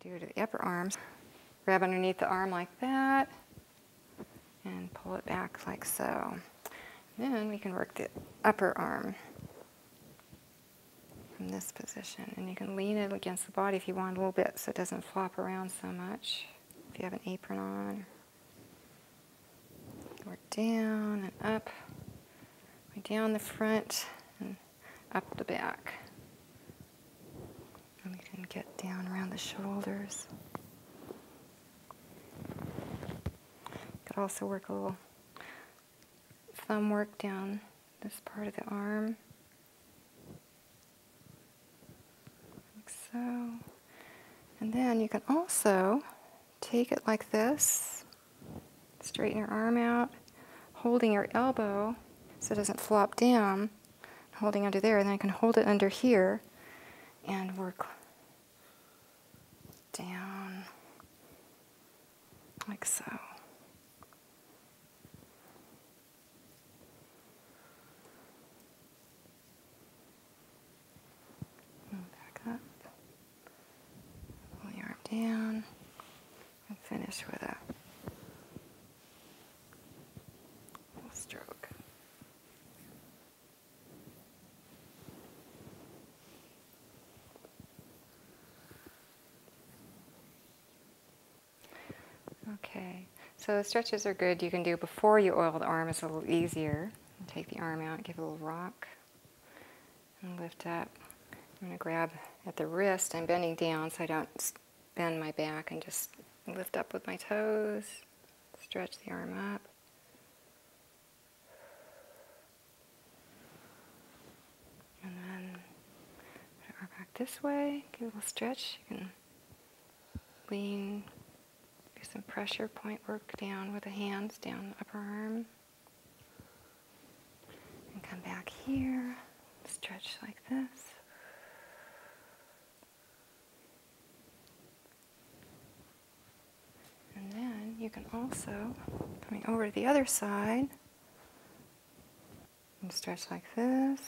do it to the upper arms. Grab underneath the arm like that and pull it back like so. Then we can work the upper arm from this position. And you can lean it against the body if you want a little bit so it doesn't flop around so much. If you have an apron on. Work down and up. Down the front up the back. And we can get down around the shoulders. Could also work a little thumb work down this part of the arm. Like so. And then you can also take it like this Straighten your arm out, holding your elbow so it doesn't flop down, holding under there, then I can hold it under here and work down like so. Back up, pull the arm down, and finish with a stroke. Okay, so the stretches are good. You can do before you oil the arm, is a little easier. Take the arm out, give it a little rock and lift up. I'm going to grab at the wrist. I'm bending down so I don't bend my back and just lift up with my toes, stretch the arm up. And then arm back this way, give a little stretch. You can lean, do some pressure point work down with the hands, down the upper arm. And come back here, stretch like this. And then you can also, coming over to the other side, and stretch like this.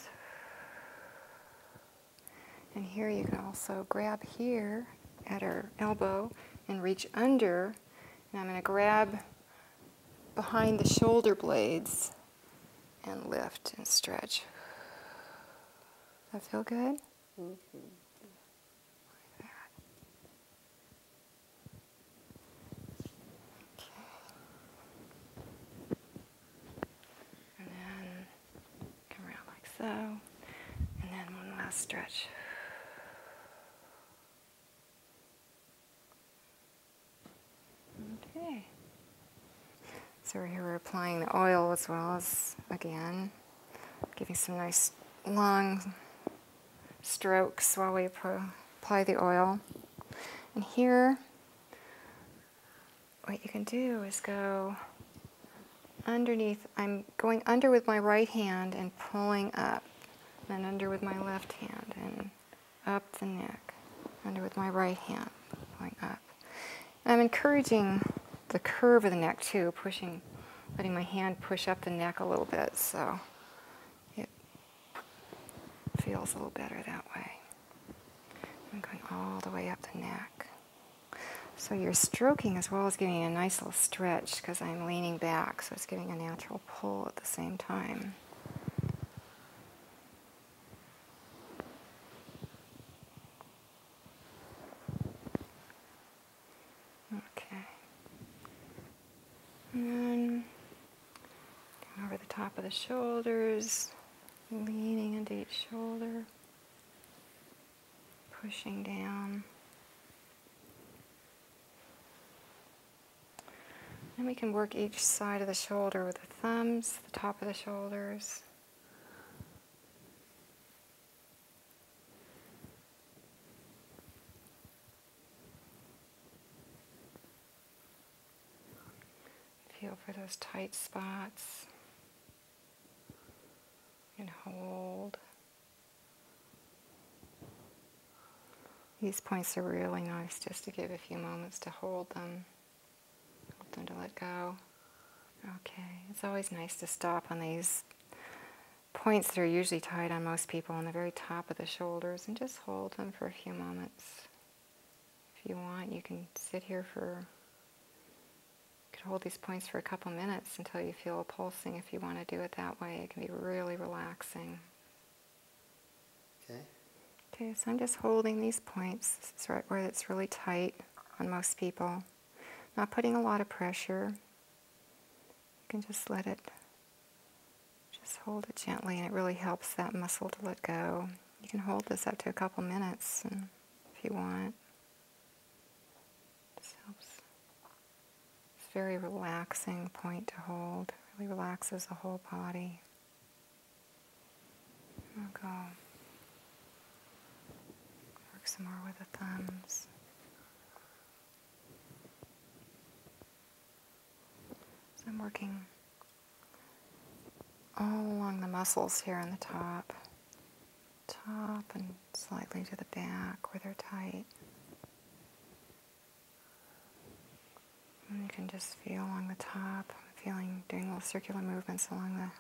And here you can also grab here at our elbow and reach under. And I'm going to grab behind the shoulder blades and lift and stretch. That feel good? Okay. And then come around like so. And then one last stretch. Okay. So here, we're applying the oil as well as, again, giving some nice long strokes while we apply the oil. And here, what you can do is go underneath. I'm going under with my right hand and pulling up then under with my left hand and up the neck, under with my right hand, going up. And I'm encouraging the curve of the neck too, pushing, letting my hand push up the neck a little bit so it feels a little better that way. I'm going all the way up the neck. So you're stroking as well as giving a nice little stretch because I'm leaning back, so it's giving a natural pull at the same time. Okay. And over the top of the shoulders, leaning into each shoulder, pushing down. And we can work each side of the shoulder with the thumbs, the top of the shoulders. Feel for those tight spots and hold. These points are really nice just to give a few moments to hold them, hold them to let go. Okay, it's always nice to stop on these points that are usually tied on most people on the very top of the shoulders and just hold them for a few moments. If you want, you can sit here for, could hold these points for a couple minutes until you feel a pulsing if you want to do it that way. It can be really relaxing. Okay. Okay, so I'm just holding these points. This is right where it's really tight on most people. Not putting a lot of pressure. You can just let it, just hold it gently, and it really helps that muscle to let go. You can hold this up to a couple minutes if you want. This helps. It's a very relaxing point to hold. really relaxes the whole body. We'll go work some more with the thumbs. So I'm working all along the muscles here on the top top and slightly to the back where they're tight. And you can just feel along the top, feeling, doing little circular movements along the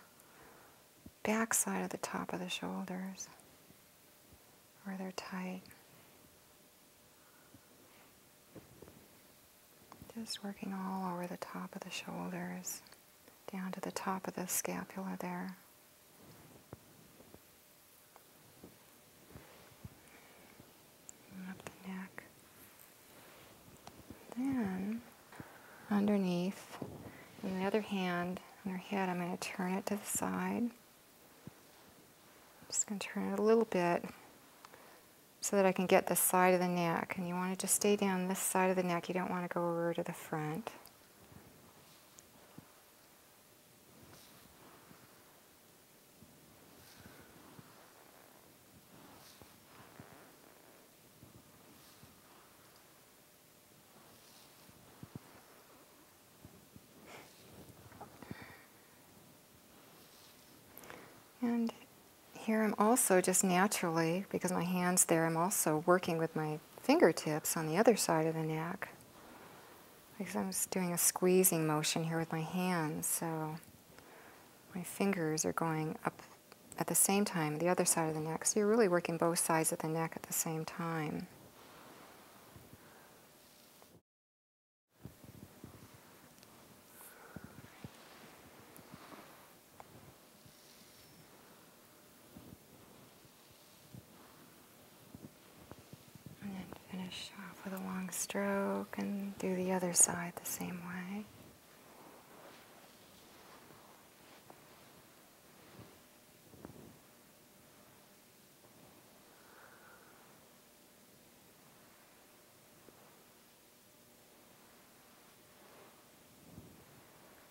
back side of the top of the shoulders where they're tight. Just working all over the top of the shoulders, down to the top of the scapula there up the neck. Then underneath, and the other hand on her head, I'm going to turn it to the side. just going to turn it a little bit so that I can get the side of the neck. And you want it to stay down this side of the neck. You don't want to go over to the front. And here I'm also just naturally, because my hand's there, I'm also working with my fingertips on the other side of the neck. Because I'm just doing a squeezing motion here with my hands, so my fingers are going up at the same time, the other side of the neck. So you're really working both sides of the neck at the same time. And then finish off with a long stroke and do the other side the same way.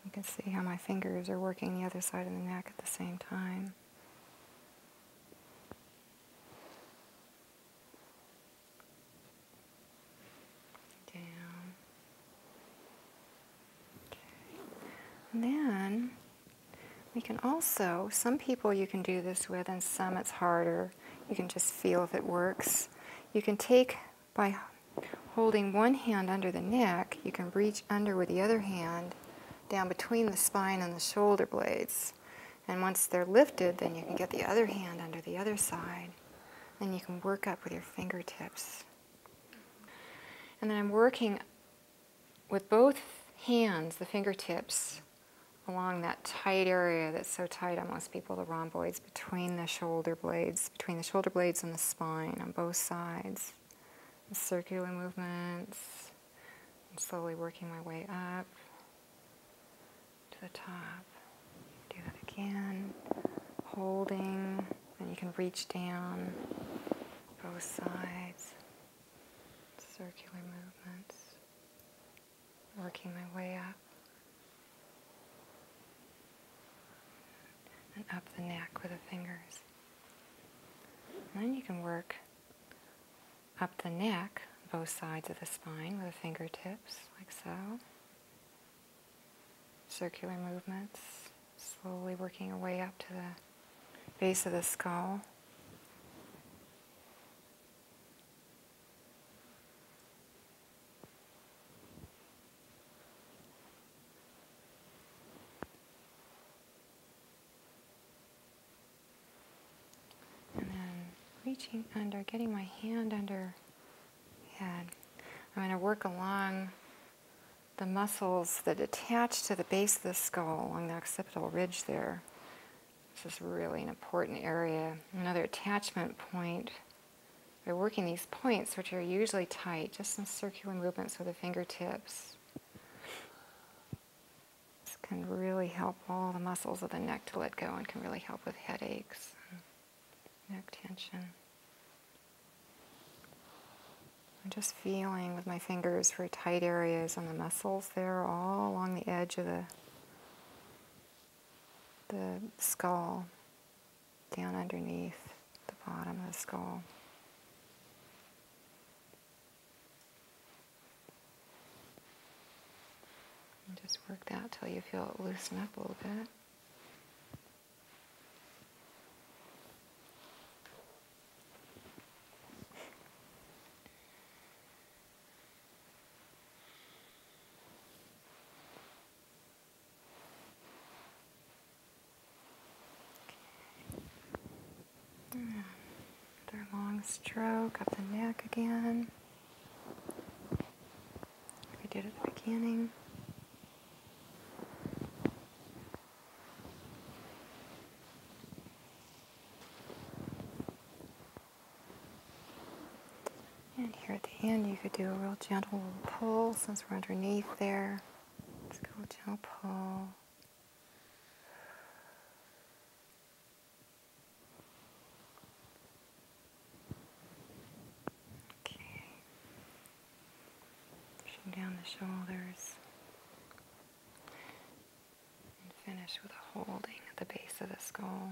You can see how my fingers are working the other side of the neck at the same time. Down. Okay. then we can also, some people you can do this with, and some it's harder. You can just feel if it works. You can take by holding one hand under the neck, you can reach under with the other hand down between the spine and the shoulder blades. And once they're lifted, then you can get the other hand under the other side. And you can work up with your fingertips. And then I'm working with both hands, the fingertips, along that tight area that's so tight on most people, the rhomboids between the shoulder blades between the shoulder blades and the spine on both sides. circular movements. I'm slowly working my way up to the top. Do that again. Holding. Then you can reach down both sides. Circular movements. Working my way up and up the neck with the fingers. And then you can work up the neck, both sides of the spine with the fingertips, like so. Circular movements, slowly working your way up to the base of the skull. And then reaching under, getting my hand under head. I'm going to work along the muscles that attach to the base of the skull along the occipital ridge there. This is really an important area. Another attachment point by working these points, which are usually tight, just some circular movements with the fingertips. This can really help all the muscles of the neck to let go and can really help with headaches, neck tension. I'm just feeling with my fingers for tight areas on the muscles there, all along the edge of the, the skull down underneath the bottom of the skull. And just work that till you feel it loosen up a little bit. Another long stroke up the neck again. Like we did at the beginning. And here at the end, you could do a real gentle pull since we're underneath there. Let's go gentle pull. Okay. Pushing down the shoulders. And finish with a holding at the base of the skull.